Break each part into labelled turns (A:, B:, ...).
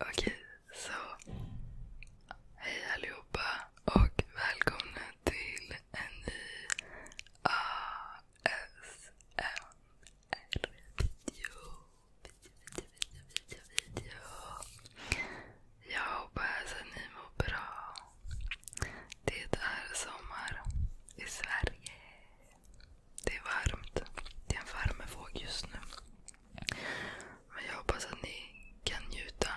A: Okej, så. Hej allihopa och välkomna till en ny ASMR-video. Video, video, video, video. Jag hoppas att ni mår bra. Det är sommar i Sverige. Det är varmt. Det är en värmevåg just nu. Men jag hoppas att ni kan njuta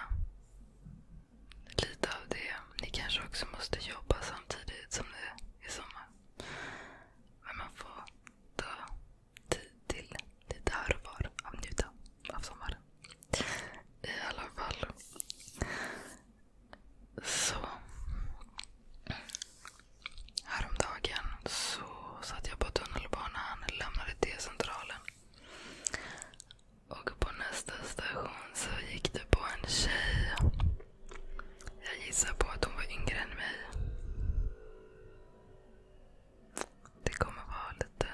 A: lite av det. Ni kanske också måste jobba samtidigt som det är sommar. Men man får ta tid till lite här och var av njuta av sommaren. I alla fall. Så. Häromdagen så satt jag på tunnelbanan och lämnade T-centralen. Och på nästa station så gick det på en tjej. Jag gissar på att hon var yngre än mig. Det kommer vara lite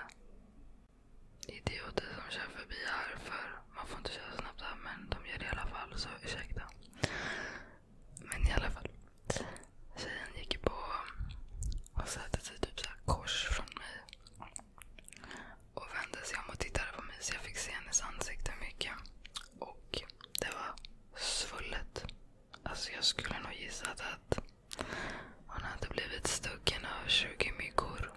A: idioter som kör förbi här för man får inte köra snabbt här men de gör det i alla fall så ursäkta. Men i alla fall. Tjejen gick på och satte sig typ så kors från mig. Och vände sig om och tittade på mig så jag fick se hennes ansikte mycket. Och det var svullet. Alltså jag skulle nog gissa att hon hade blivit stucken av 20 myggor.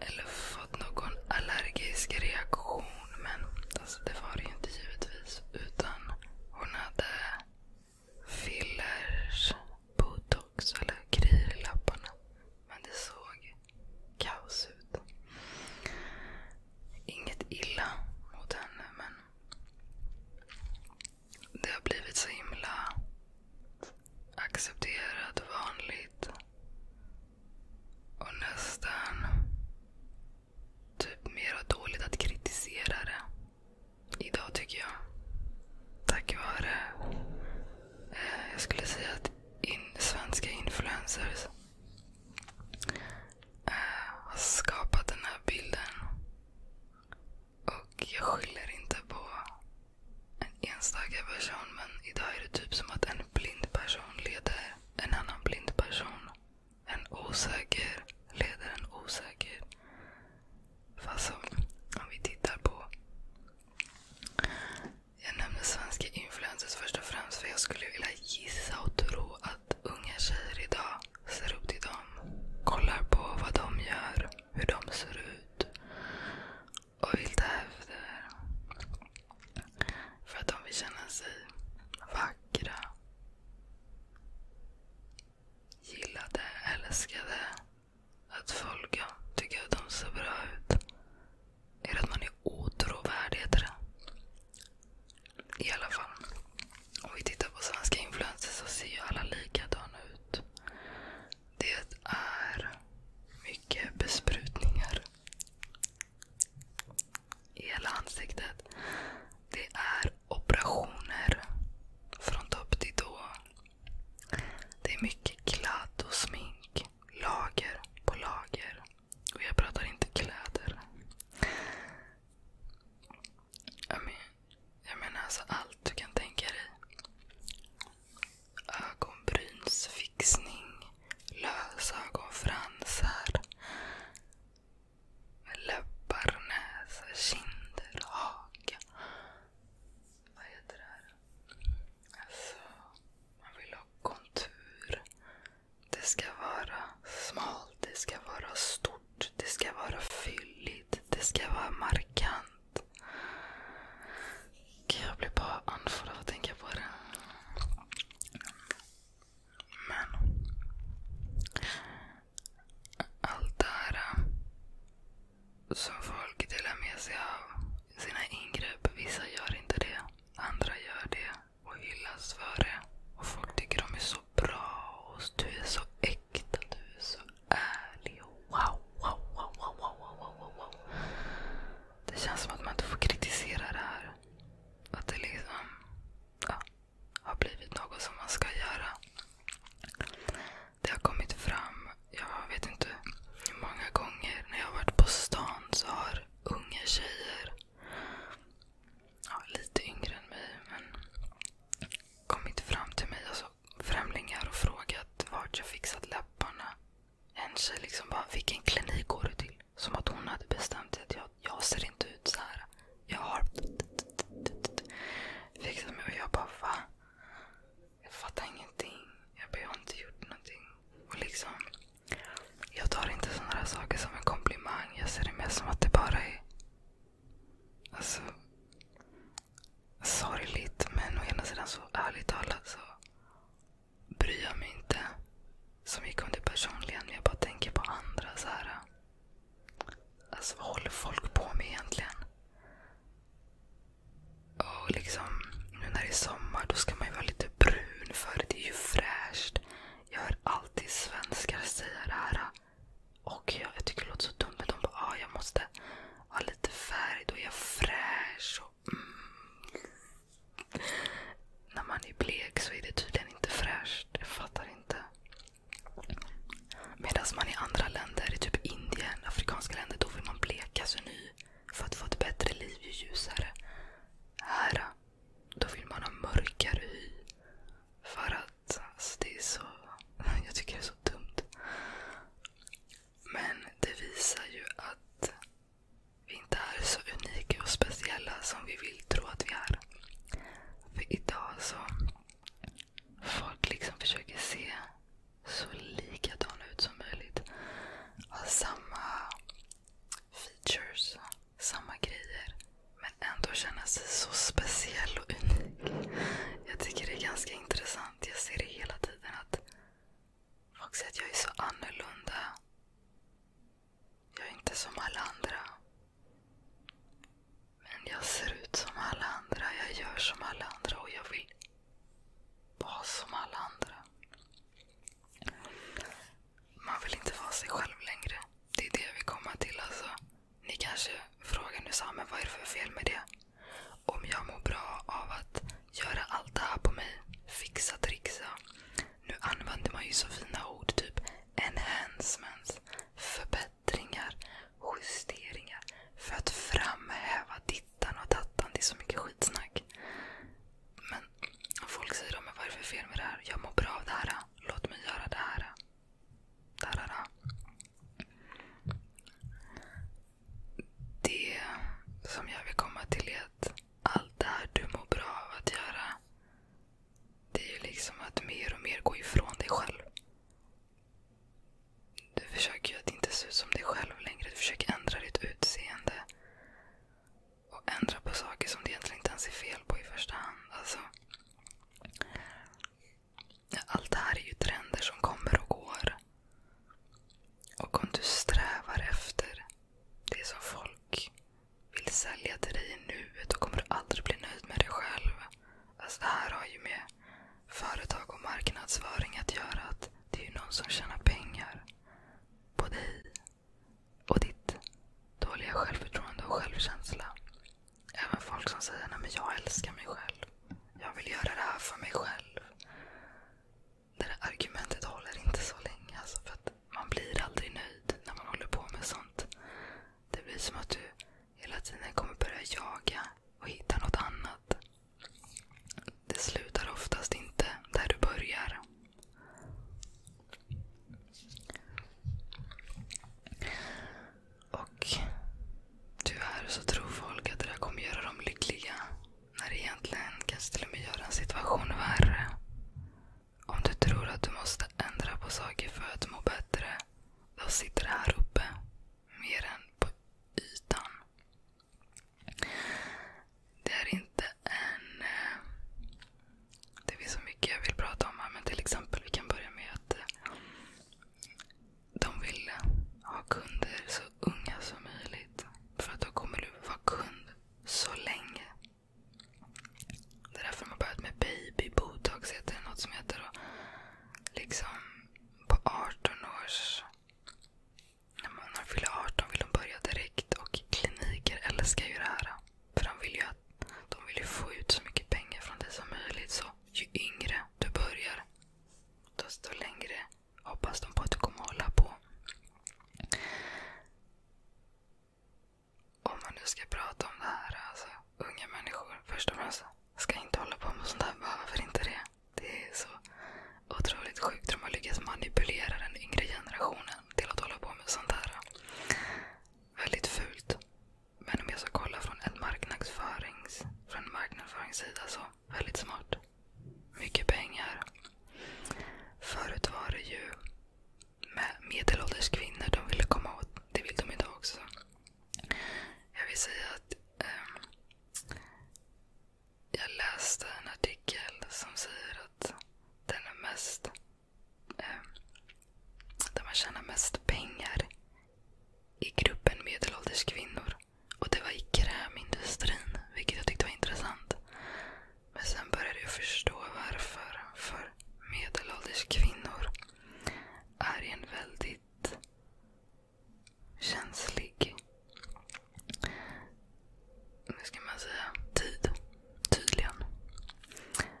A: Eller fått någon allergisk reaktion hon. Men alltså, det var det ju inte givetvis. Utan hon hade fillers, botox eller grejer i läpparna. Men det såg kaos ut. Inget illa mot henne men det har blivit så himla accepterat, vanligt och nästan typ mera dåligt att kritisera det idag tycker jag. Tack vare, eh, jag skulle säga att in, svenska influencers eh, har skapat den här bilden. Och jag skyller inte på en enstaka person men idag är det typ som att en blind person leder en annan blind person. En osäker En osäker. Fast om vi tittar på... Jag nämner svenska influencers först och främst för jag skulle vilja gissa och tro att unga tjejer idag ser upp till dem. Kollar på vad de gör, hur de ser ut och vill ta efter. För att de vill känna sig vackra, gillade, älskade. Att folk tycker att de ser bra ut. Är det att man är otrovärdig heter det. I alla fall. Om vi tittar på svenska influencers så ser ju alla likadana ut. Det är mycket besprutningar i hela ansiktet. Det är operationer från topp till tå. Det är mycket kladd och smink. Lager på lager. Och jag pratar inte kläder. Jag, men, jag menar alltså allt du kan tänka dig. Ögonbrynsfixning lösa ögonfransar. Läppar, näsa, kinder, haka. Vad heter det här? Alltså, man vill ha kontur. Det ska vara smalt, det ska vara stort, det ska vara fylligt, det ska vara markant. Jag blir bara andfådd av att tänka på det. Men... Allt det här eh, som folk delar med sig av sina ingrepp. Vissa gör inte det. Andra gör det och hyllas för det. Och folk tycker de är så bra. och Du är så äkta. Du är så ärlig. Wow, wow, wow, wow, wow, wow, wow. Det känns som att man inte får kritisera det här. Att det liksom har blivit något som man ska göra. Det har kommit fram, jag vet inte hur många gånger när jag har varit på stan så har unga tjejer, lite yngre än mig, kommit fram till mig, alltså främlingar och frågat vart jag fixat läpparna. En tjej liksom bara, vilken klinik går du till? Som att hon hade bestämt sig att jag, jag ser inte ut så här. Jag har fixat mig och jag bara va? Jag fattar ingenting. Jag, bara, jag har inte gjort någonting. Och liksom, jag tar inte sådana här saker som en komplimang. Jag ser det mer som att det bara är alltså, sorgligt. Men å ena sidan så ärligt talat så bryr jag mig inte så mycket om det personligen. Men jag bara tänker på andra. så här. Alltså vad håller folk på med egentligen? Och liksom, nu när det är sommar då ska man ju vara lite brun för det är ju fräscht. Jag hör alltid svenskar säga det här. Och jag, jag tycker det låter så dumt men de bara ah, jag måste ha lite färg, då är jag fräsch. Och, mm, när man är blek så är det tydligen inte fräscht. Jag fattar inte. Medan man i andra länder, i typ Indien, afrikanska länder, då vill man bleka sig ny för att få ett bättre liv ju ljusare. Här, då vill man ha mörkare hy. För att alltså det är så... Jag tycker det är så dumt. Men det visar ju att vi inte är så unika och speciella som vi vill tro att vi är. För idag så... Folk liksom försöker se så likadana ut som möjligt. Ha samma features, samma grejer. Men ändå känna sig så speciell och unik. Jag tycker det är ganska intressant. Jag ser det hela tiden att folk säger att jag är så annorlunda. Jag är inte som alla andra. Men jag ser ut som alla andra. Jag gör som alla andra och jag vill vara som alla andra. Man vill inte vara sig själv längre. Det är det vi kommer till. Alltså. Ni kanske frågar nu, men vad är det för fel med det? Om jag mår bra av att göra allt det här på mig, fixa, trixa, nu använder man ju så fina ord, typ enhancements, förbättringar, justeringar för att framhäva dittan och dattan. Det är så mycket skitsnack. Men folk säger då, men vad är det för fel med det här? Jag mår bra av det här. Låt mig göra det här. Det Det som jag vill komma till är att allt det här du mår bra av att göra. Det är ju liksom att mer och mer gå ifrån dig själv. Du försöker ju att inte se ut som dig själv längre. Du försöker ändra ditt utseende. Och ändra på saker som det egentligen inte ens är fel på i första hand. Alltså, allt det här är ju trender som kommer och går. Och om du strävar efter det som folk vill sälja till dig i nuet och kommer du aldrig bli nöjd med dig själv. Alltså det här har ju med företag och marknadsföring att göra. att Det är ju någon som tjänar pengar på dig och ditt dåliga självförtroende och självkänsla. Även folk som säger Nej, men jag älskar mig själv. Jag vill göra det här för mig själv det där argumentet håller inte så länge. Alltså, man blir aldrig nöjd när man håller på med sånt. Det blir som att du hela tiden kommer börja jaga och hitta något annat. Det slutar oftast inte där du börjar. tyvärr så tror folk att det där kommer göra dem lyckliga. När det egentligen kanske till och med gör en situation värre. Om du tror att du måste ändra på saker för att må bättre, då sitter det här uppe. Mer än på ytan. Det är inte en... Eh, det finns så mycket jag vill prata om här, men till exempel vi kan börja med att eh, de vill ha kunder så unga som möjligt. För att då kommer du vara kund så länge. Det är därför de har börjat med baby botox, heter det något som heter. Och liksom på 18 års... När man fyller 18 vill de börja direkt och kliniker älskar ju det här. För de vill ju, att, de vill ju få ut så mycket pengar från dig som möjligt. Så ju yngre du börjar, desto längre hoppas de på att du kommer hålla på. Om man nu ska prata om det här, alltså unga människor först och främst. Ska inte hålla på med sånt här. Varför inte det? Det är så otroligt sjukt hur man lyckas manipulera den yngre generationen till att hålla på med sånt här. Väldigt fult. Men om jag ska kolla från en marknadsförings, från en marknadsföringssida så väldigt smart mycket pengar. Förut var det ju med medelålders kvinnor de ville komma åt. Det vill de idag också. Jag vill säga att ehm, jag läste en artikel som säger att den är mest um, där man tjänar mest pengar i gruppen medelålders kvinnor. Och det var i krämindustrin, vilket jag tyckte var intressant. Men sen började jag förstå varför. För medelålders kvinnor är en väldigt känslig hur ska man säga, tid. Tydligen.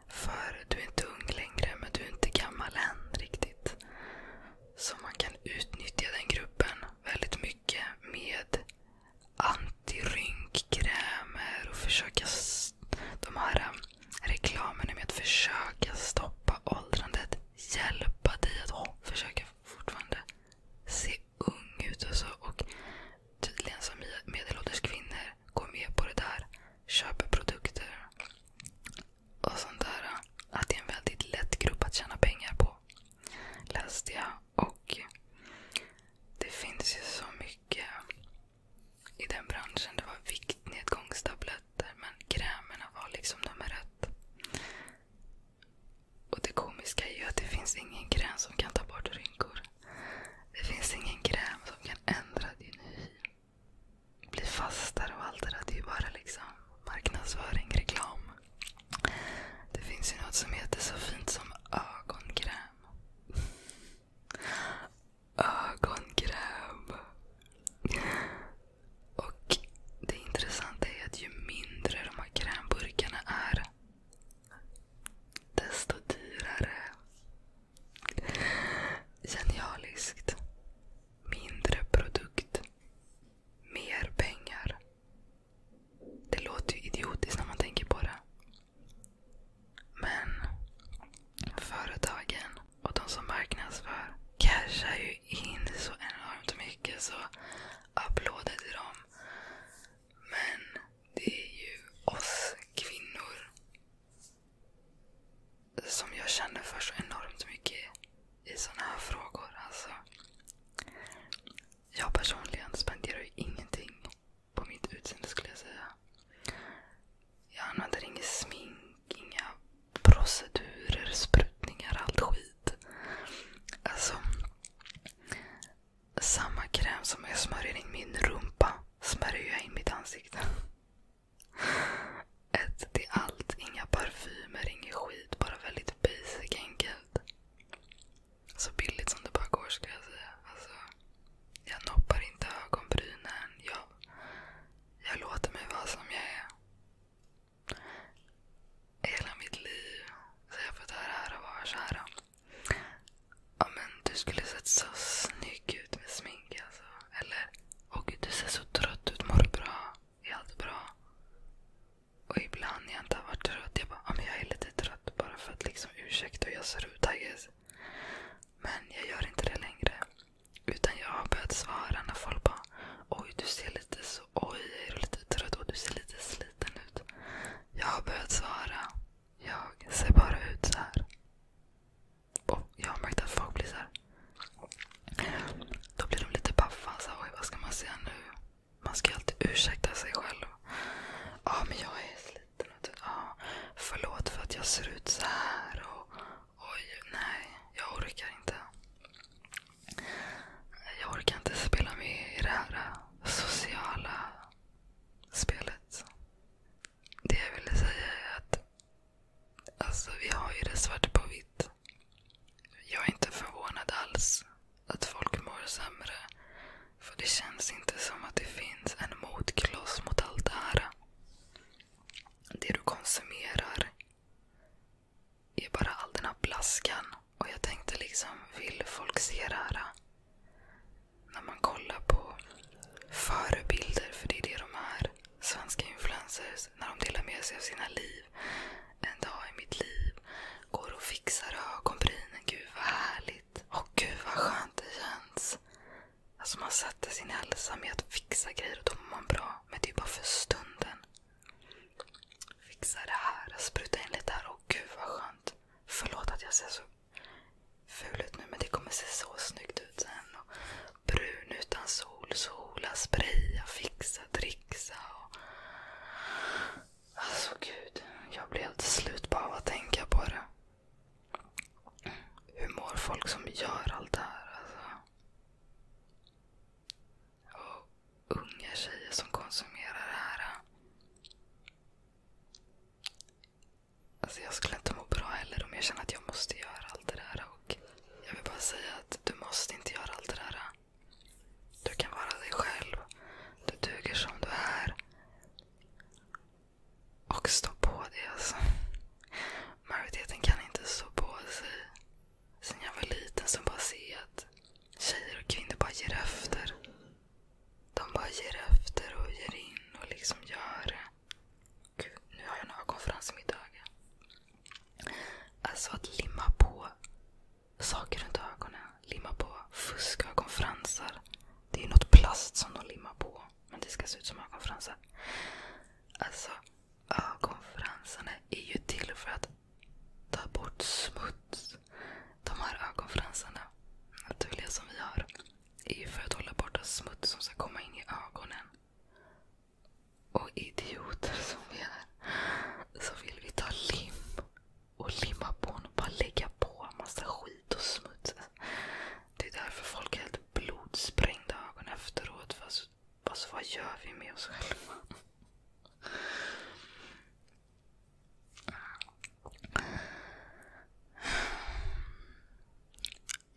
A: För du är inte ung längre, men du är inte gammal än riktigt. Så man kan utnyttja den gruppen väldigt mycket med antirynkkrämer och försöka... De här um, reklamerna med att försöka stoppa åldrandet. Hjälpa dig att försöka fortfarande se ung ut och så. Alltså. Och tydligen som medelålders kvinnor går med på det där. Köper produkter och sånt där. Uh, att det är en väldigt lätt grupp att tjäna pengar på. Läste jag och det finns ju så mycket i den branschen. Det var viktnedgångstabletter men krämerna var liksom nummer ett. Och det komiska är ju att det finns ingen kräm som kan ta bort rynkor. Det finns ingen kräm som kan ändra din hy. Bli fastare och allt det där. Det är ju bara liksom marknadsföring, reklam. Det finns ju något som heter så fint som ögonkräm. Ögonkräm. Och det intressanta är att ju mindre de här krämburkarna är, desto dyrare. Genialiskt. Mindre produkt. Mer pengar. Det låter ju idiotiskt när man tänker på det. Men företagen och de som marknadsför cashar ju in så enormt mycket. Så applåder till dem. Men det är ju oss kvinnor som jag känner för så enormt mycket i sådana här frågor. Alltså, jag personligen spenderar ju ingenting på mitt utseende skulle jag säga. Jag använder inget smink, inga procedurer, sprutningar, allt skit. Alltså, samma kräm som jag smörjer in min rumpa smörjer jag in mitt ansikte. Ett till allt. Inga parfymer, inget skit. Bara väldigt basic enkelt så billigt som det bara går skulle jag säga. Alltså, jag noppar inte ögonbrynen. Jag, jag låter mig vara som jag är. Hela mitt liv så jag fått höra här och var så här. Ja, men du skulle sett så snygg ut med smink. Alltså. Eller, åh du ser så trött ut. Mår du bra? Är allt bra? Och ibland när jag inte har varit trött, jag bara, ah, jag är lite trött bara för att liksom ursäkta hur jag ser ut I guess. Men jag gör inte det längre. Utan jag har börjat svara när folk bara, oj du ser lite så, oj är du lite trött och du ser lite sliten ut. Jag har börjat svara, jag ser bara ut så här. Och jag har märkt att folk blir så här. Då blir de lite paffa. Så, oj vad ska man säga nu? Man ska alltid ursäkta sig själv. Ja, men jag är sliten. Och typ, förlåt för att jag ser ut så här. Och, oj, nej. Jag orkar inte. Jag orkar inte spela med i det här sociala spelet. Det jag ville säga är att alltså, vi har ju det svart på vitt. Jag är inte förvånad alls att folk mår sämre. För det känns inte som att det finns en motkloss mot allt det här. Det du konsumerar är bara all den här blaskan. Och jag tänkte liksom, vill folk se det här? När man kollar på förebilder, för det är det de är. Svenska influencers, när de delar med sig av sina liv en dag i mitt liv. Går och fixar ögonbrynen. Gud vad härligt. Och gud vad skönt det känns. Alltså man sätter sin hälsa med att fixa grejer och då mår man bra. Men det är bara för stunden. Fixa det här. Spruta in lite här. Och gud vad skönt. Förlåt att jag ser så ful ut nu men det kommer se så snyggt ut sen. Och brun utan sol, sola, spraya, fixa, trixa. Och... Alltså gud, jag blir helt slut bara av att tänka på det. Hur mår folk som gör allt det här? Alltså. Och unga tjejer som konsumerar det här. Alltså jag skulle inte må bra heller om jag känner att jag måste göra allt det där. Och jag vill bara säga att du måste inte göra allt det där. Du kan vara dig själv. Du duger som du är. Och stå på det alltså. Majoriteten kan inte stå på sig. Sen jag var liten så bara se att tjejer och kvinnor bara ger efter. De bara ger efter och ger in och liksom gör Gud, nu har jag en ögonfrans i mitt öga. Alltså att limma på saker runt ögonen. Limma på fuskögonfransar. Det är ju något plast som de limmar på. Men det ska se ut som ögonfransar. Alltså, ögonfransarna är ju till för att ta bort smuts. De här ögonfransarna, naturliga som vi har, är ju för att hålla borta smuts som ska komma in i ögonen. Och idioter som vi är, så vill vi ta lim och limma på honom. och Bara lägga på massa skit och smuts. Det är därför folk är helt blodsprängda ögon efteråt. Fast, alltså, alltså, vad gör vi med oss själva?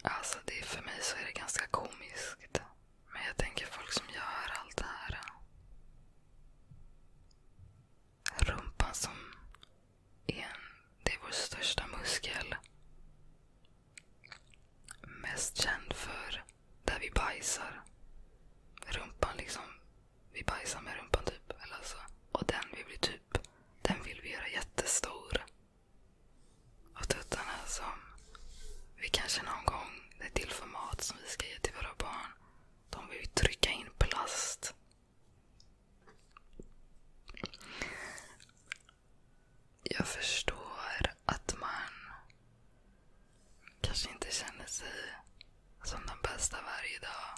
A: Alltså det är, för mig så är det ganska komiskt. Men jag tänker folk som gör allt det här rumpan som är, en, det är vår största muskel. Mest känd för där vi bajsar. Rumpan liksom. Vi bajsar med rumpan typ. Eller alltså. Och den vill vi typ, den vill vi göra jättestor. Och tuttarna som vi kanske någon gång, det är till för mat som vi ska ge till våra barn. De vill trycka in plast. Jag förstår att man kanske inte känner sig som den bästa varje dag.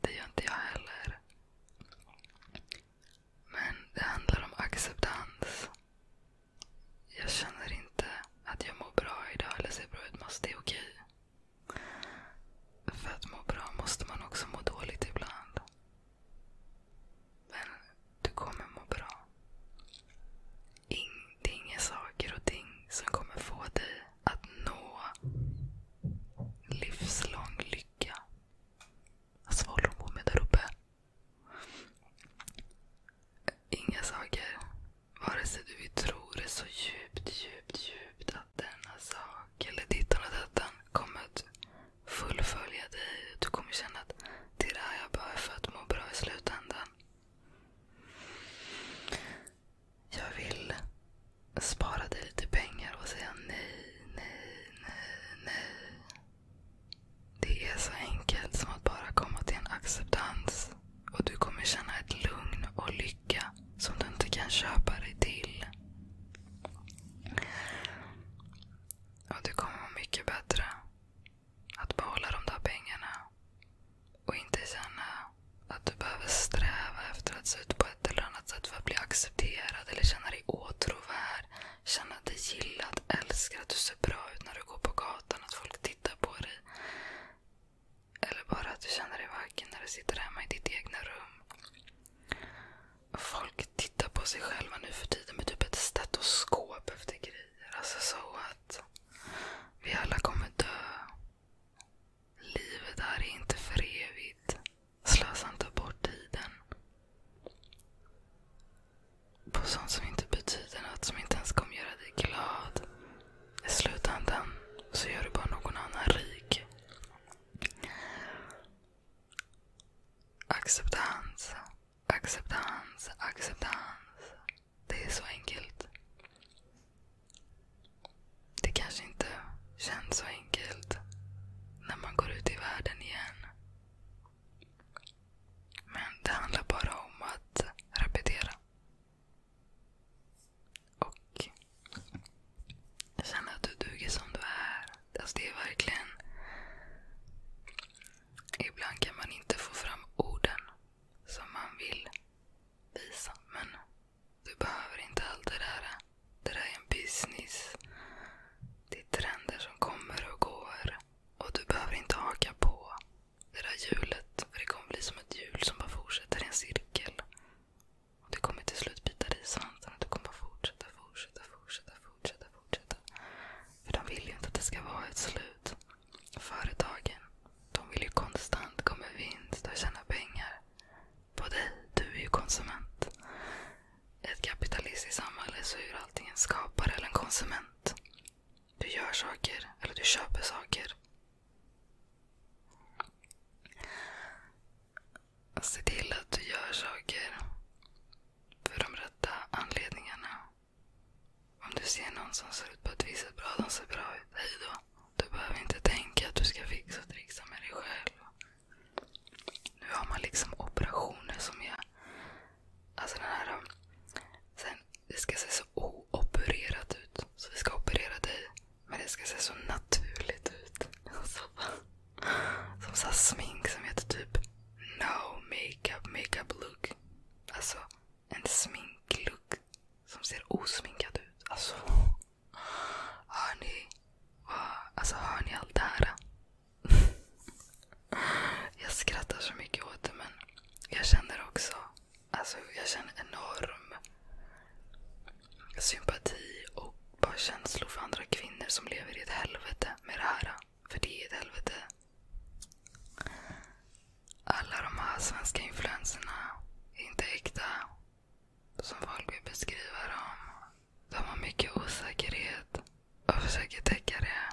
A: Det gör inte jag heller. Men det handlar om acceptans. Jag känner inte att jag mår bra idag eller ser bra ut, måste det är okej. För att må bra måste man också må dåligt ibland. Men du kommer må bra. In, det är inga saker och ting som kommer få dig att nå livslång lycka. Alltså vad håller hon på med där uppe? inga saker. Vare sig du vill tro det så djupt, djupt, djupt att denna sak eller dittan och dattan kommer att fullfölja dig. Du kommer känna att det är det här jag behöver för att må bra i slutändan. Jag vill spara dig lite pengar och säga nej, nej, nej, nej. Det är så enkelt som att bara komma till en acceptans och du kommer känna ett lugn och lycka som du inte kan köpa dig till. Och du kommer vara mycket bättre att behålla de där pengarna och inte känna att du behöver sträva efter att se ut på ett eller annat sätt för att bli accepterad eller känna dig åtråvärd. Känna dig gillad, älskad, att du ser bra ut när du går på gatan, att folk tittar på dig. Eller bara att du känner dig vaken när du sitter hemma i ditt egna rum. Folk tittar på sig själva nu för tiden med typ ett stetoskop efter grejer. Alltså så att vi alla kommer dö. Livet här är inte för evigt. Slösa inte bort tiden. På sånt som inte betyder något, som inte ens kommer göra dig glad i slutändan så gör du bara någon annan rik. Acceptans, acceptans, acceptans. Det är så enkelt. Det kanske inte känns så enkelt när man går ut i världen igen. Men det handlar bara om att repetera. Och känna att du duger som du är. Alltså det är verkligen... Ibland kan man inte få fram orden som man vill visa. Men du behöver inte allt det där. Det där är en business. Det är trender som kommer och går. Och du behöver inte haka på det där hjulet. För det kommer bli som ett hjul som bara fortsätter i en cirkel. Och Det kommer till slut bita dig i svansen. och Du kommer bara fortsätta, fortsätta, fortsätta, fortsätta. fortsätta. För de vill ju inte att det ska vara ett slut. Företagen, de vill ju konstant komma i vinst och tjäna pengar. På dig, du är ju konsument. I ett kapitalistiskt samhälle så är allting en skapare eller en konsument. Du gör saker, eller du köper saker Se till att du gör saker för de rätta anledningarna. Om du ser någon som ser ut på ett visst bra, de ser bra ut. Hej då. Du behöver inte tänka att du ska fixa och trixa med dig själv. Nu har man liksom operationer som är... Alltså den här... Sen men det ska se så oopererat ut. Så vi ska operera dig. Men det ska se så naturligt ut. Alltså, som så smink som heter typ No makeup makeup look. Alltså en sminklook som ser osminkad ut. Alltså, hör ni, alltså, hör ni allt det här? Jag skrattar så mycket åt det men jag känner också Alltså jag känner enorm sympati och bara känslor för andra kvinnor som lever i ett helvete med det här. För det är ett helvete. Alla de här svenska influenserna är inte äkta. Som folk vill beskriva dem. De har mycket osäkerhet och försöker täcka det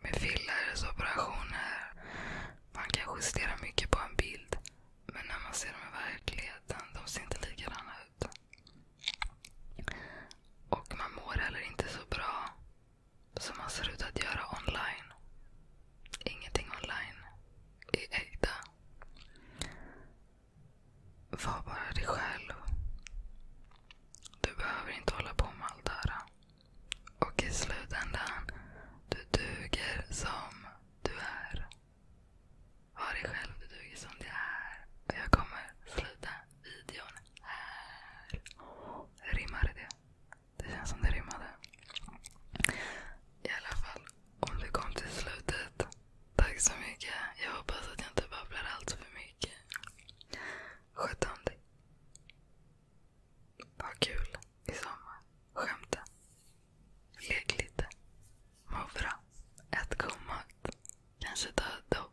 A: med fillersoperationer operationer Man kan justera mycket på en bild. Men när man ser dem i verkligheten, de ser inte likadana ut. Och man mår heller inte så bra som man ser ut att göra online. Ingenting online är äkta. Var bara dig själv. Du behöver inte hålla på med allt det här. Och i slutändan, du duger som du är. Var dig själv, du duger som du är. Och jag kommer sluta videon här. Rimmar det? Det känns som det rimmade. I alla fall, om du kom till slutet. Tack så mycket. Jag hoppas att jag inte babblar allt för mycket. Sköt om dig. Vad kul i sommar. Skämta. Lek lite. Muffra. Ät god mat. Kanske ta ett dopp.